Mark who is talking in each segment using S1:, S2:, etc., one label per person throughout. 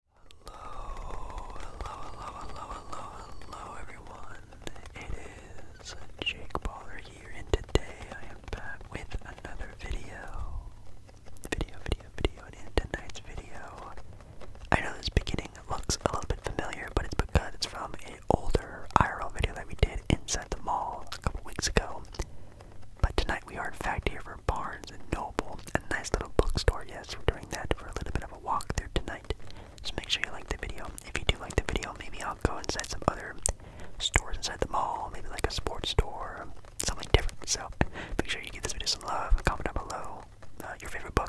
S1: Hello, hello, hello, hello, hello, hello everyone. It is Jake Baller here and today I am back with another video. Video, video, video, and in tonight's video. I know this beginning looks a little bit familiar, but it's because it's from an older IRL video that we did inside the mall a couple weeks ago. But tonight we are in fact here for Barnes and Noble, a nice little bookstore, yes podcast. We're doing that for a little bit of a walk walkthrough tonight. So make sure you like the video. If you do like the video, maybe I'll go inside some other stores inside the mall, maybe like a sports store, something different. So make sure you give this video some love. Comment down below uh, your favorite book.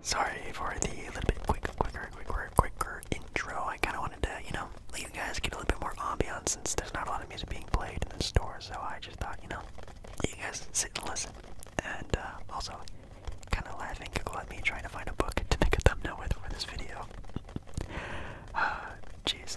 S1: Sorry for the little bit quicker, quicker, quicker, quicker intro. I kind of wanted to, you know, let you guys get a little bit more ambiance since there's not a lot of music being played in the store. So I just thought, you know, you guys sit and listen, and uh, also kind of laughing, giggle at me trying to find a book to make a thumbnail with for this video. Uh, jeez.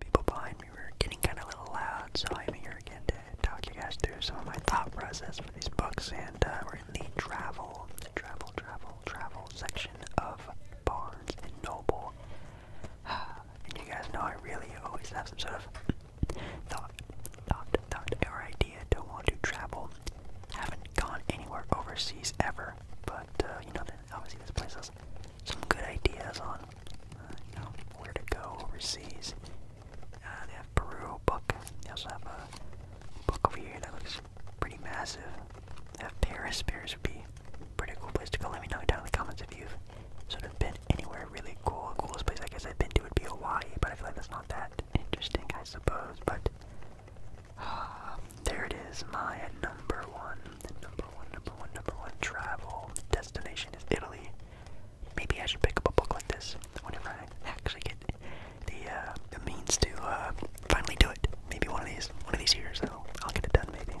S1: People behind me were getting kind of a little loud, so I'm here again to talk you guys through some of my thought process for these books, and uh, we're in the travel, travel, travel, travel section of Barnes and Noble. and you guys know I really always have some sort of thought, thought, thought, or idea to want to travel. Haven't gone anywhere overseas ever, but uh, you know, obviously this place has some good ideas on, uh, you know, where to go overseas. Uh, they have Peru book. They also have a book over here that looks pretty massive. They have Paris. Paris would be pretty cool place to go. Let me know down in the comments if you've sort of been anywhere really cool. coolest place I guess I've been to would be Hawaii, but I feel like that's not that interesting, I suppose. But ah, there it is, my number one, number one, number one, number one travel destination is Italy. Maybe I should pick up a book like this whenever I actually get the uh, the means to uh, finally do it. Maybe one of these, one of these years, I'll, I'll get it done. Maybe.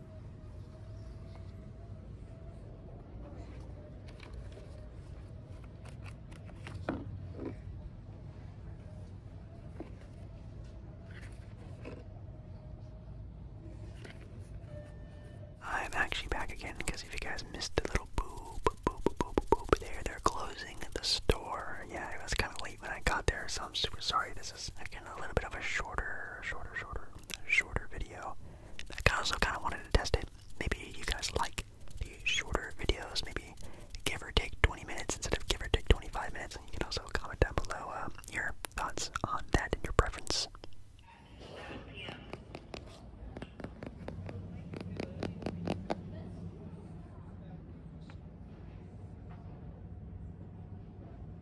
S1: I'm actually back again because if you guys missed the little boop, boop, boop, boop, boop there, they're closing the store. Yeah, it was kind of late when I got there, so I'm super sorry. This is, again, a little bit of a shorter, shorter, shorter, shorter video. I also kind of wanted to test it. Maybe you guys like the shorter videos, maybe give or take 20 minutes instead of give or take 25 minutes. you can also comment down below um, your thoughts on that and your preference.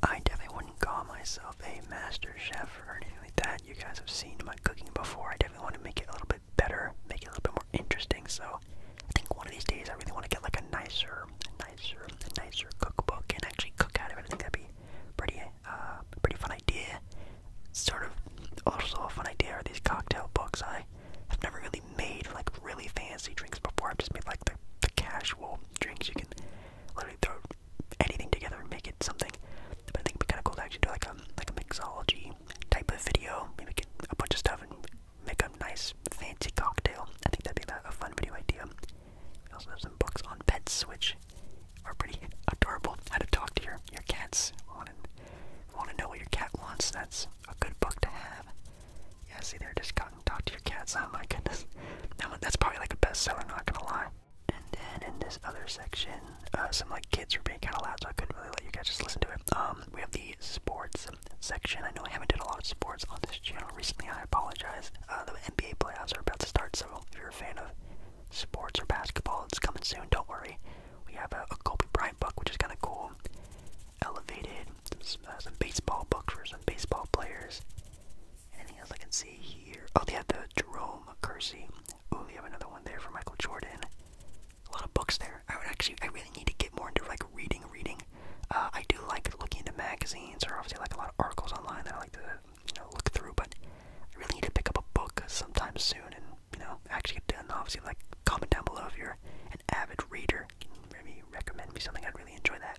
S1: I definitely wouldn't call myself a master chef or anything like that you guys have seen my cooking before. I definitely want to make it a little bit better, make it a little bit more interesting. So I think one of these days I really want to get like a nicer, nicer, nicer cookbook and actually cook out of it. I think that'd be pretty, uh, pretty fun idea. Sort of also a fun idea are these cocktail books. I have never really made like really fancy drinks before. I've just made like the, the casual drinks you can literally throw anything together and make it something. But I think it'd be kind of cool to actually do like a um, like a mixology type of video. Maybe get a bunch of stuff and make a nice fancy cocktail. I think that'd be a fun video idea. We also have some books on pets, which are pretty adorable. How to talk to your your cats. Want to want to know what your cat wants? That's a good book to have. Yeah, see, they're just talking to your cats. Oh my goodness, that that's probably like a bestseller. Not gonna lie. And then in this other section, uh, some like kids were being kind of loud, so I couldn't really let you guys just listen to it. Um, we have the sports section. I know I haven't done a lot of sports on this channel recently. I apologize. Uh, the NBA playoffs are about to start, so if you're a fan of sports or basketball, it's coming soon. Don't worry. We have a, a Kobe Bryant book, which is kind of cool. Elevated, some, uh, some baseball books for some baseball players. Anything else I can see here? Oh, they have the Jerome Kersey Ooh, we have another one there for Michael Jordan. A lot of books there. I would actually, I really need to get more into like reading, reading. Uh, I do like looking into magazines, or obviously like a lot of articles online that I like to, you know, look through. But I really need to pick up a book sometime soon, and you know, actually get done. Obviously, like comment down below if you're an avid reader. Can maybe recommend me something. I'd really enjoy that.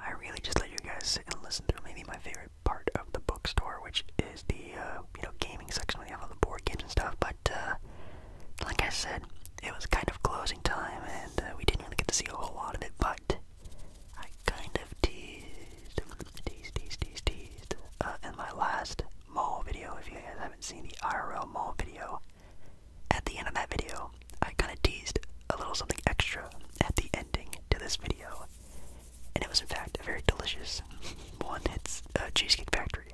S1: I really just let you guys sit and listen to maybe my favorite part of the bookstore, which is the uh, you know gaming section where they have all the board games and stuff. But uh, like I said, it was kind of closing time, and uh, we didn't really get to see a whole lot of it. But I kind of teased, teased, teased, teased, teased uh, in my last mall video. If you guys haven't seen the IRL mall video, at the end of that video, I kind of teased a little something extra at the ending to this video, and it was in fact a very delicious one. It's uh, Cheesecake Factory.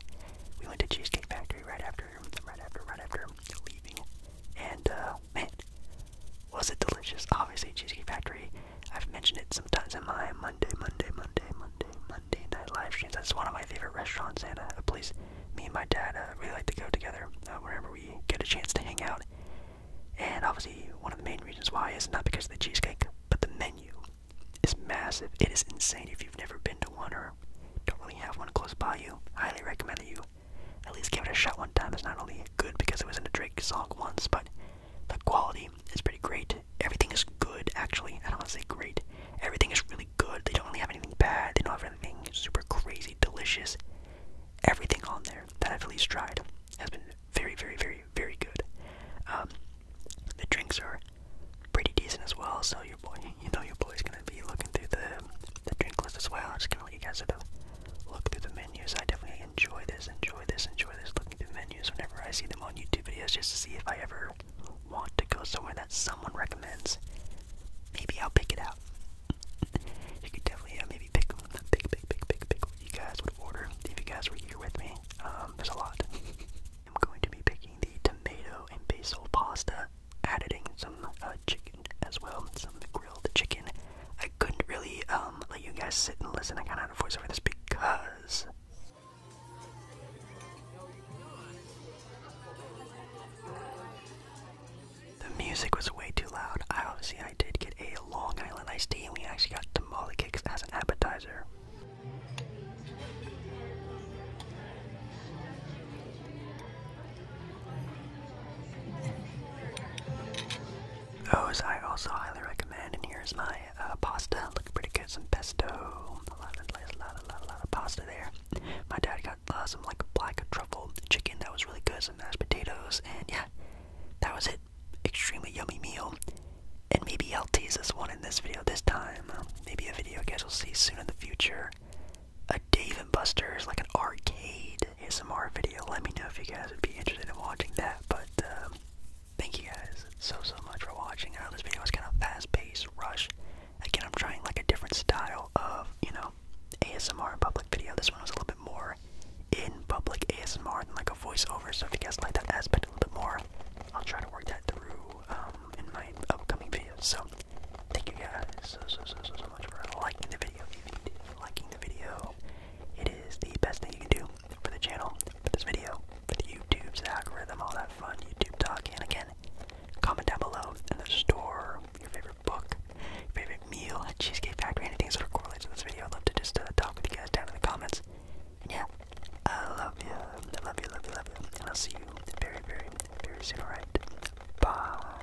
S1: We went to Cheesecake Factory right after, right after, right after leaving, and uh, man, was it delicious? Obviously, Cheesecake Factory. I've mentioned it sometimes in my Monday, Monday, Monday, Monday, Monday night live streams. That's one of my favorite restaurants and a uh, place me and my dad really uh, like to go together uh, whenever we get a chance to hang out. And obviously, one of the main reasons why is not because of the cheesecake, but the menu is massive. It is insane. If you've never been to one or don't really have one close by you, highly recommend that you at least give it a shot one time. It's not only good because it was in a Drake song once, but the quality is pretty great. Everything is good, actually. I don't want to say great. Everything is really good. They don't really have anything bad. They don't have anything super crazy, delicious. Everything on there that I've at least tried has been very, very, very, very good. Um, the drinks are pretty decent as well, so your boy, you know, your boy's gonna be looking through the the drink list as well. Just give you guys sort look through the menus. I definitely enjoy this, enjoy this, enjoy this, looking through menus whenever I see them on YouTube videos just to see if I ever want to go somewhere that someone recommends. Maybe I'll pick it out. you could definitely uh, maybe pick, pick, pick, pick, pick, pick what you guys would order if you guys were here with me. Um, there's a lot. I'm going to be picking the tomato and basil pasta, adding some uh, chicken as well, some grilled chicken, I couldn't really um, let you guys sit and listen. I kind of had a voice over this because. The music was way too loud. I obviously I did get a Long Island iced tea, and we actually got molly cakes as an appetizer. Oh, I also highly recommend, and here's my uh, pasta. Looking pretty good, some pesto. A lot of, pasta there. My dad got uh, some like black truffle chicken that was really good, some mashed potatoes, and yeah, that was it. Extremely yummy meal. And maybe I'll tease this one in this video this time. Maybe a video I guess we'll see soon in the future. A Dave Buster's, like an arcade ASMR video. Let me know if you guys would be interested in watching that. But um, thank you guys so so much for watching. I know this video was kind of fast-paced, rush. Again, I'm trying like a different style of you know ASMR public video. This one was a little bit more in public ASMR than like a voiceover. So if you guys like that aspect a little bit more, I'll try to work that through um, in my upcoming videos. So thank you guys so so so so much for liking the video, and liking the video. It is the best thing you can do for the channel, for this video, for the YouTube's algorithm, all that fun YouTube talk. And again, comment down below in the store your favorite book, favorite meal Cheesecake Factory, anything sort of correlates with this video. I'd love to just uh, talk with you guys down in the comments. yeah, I love you, I love you, love you, love you, and I'll see you very, very, very soon, alright? Bye.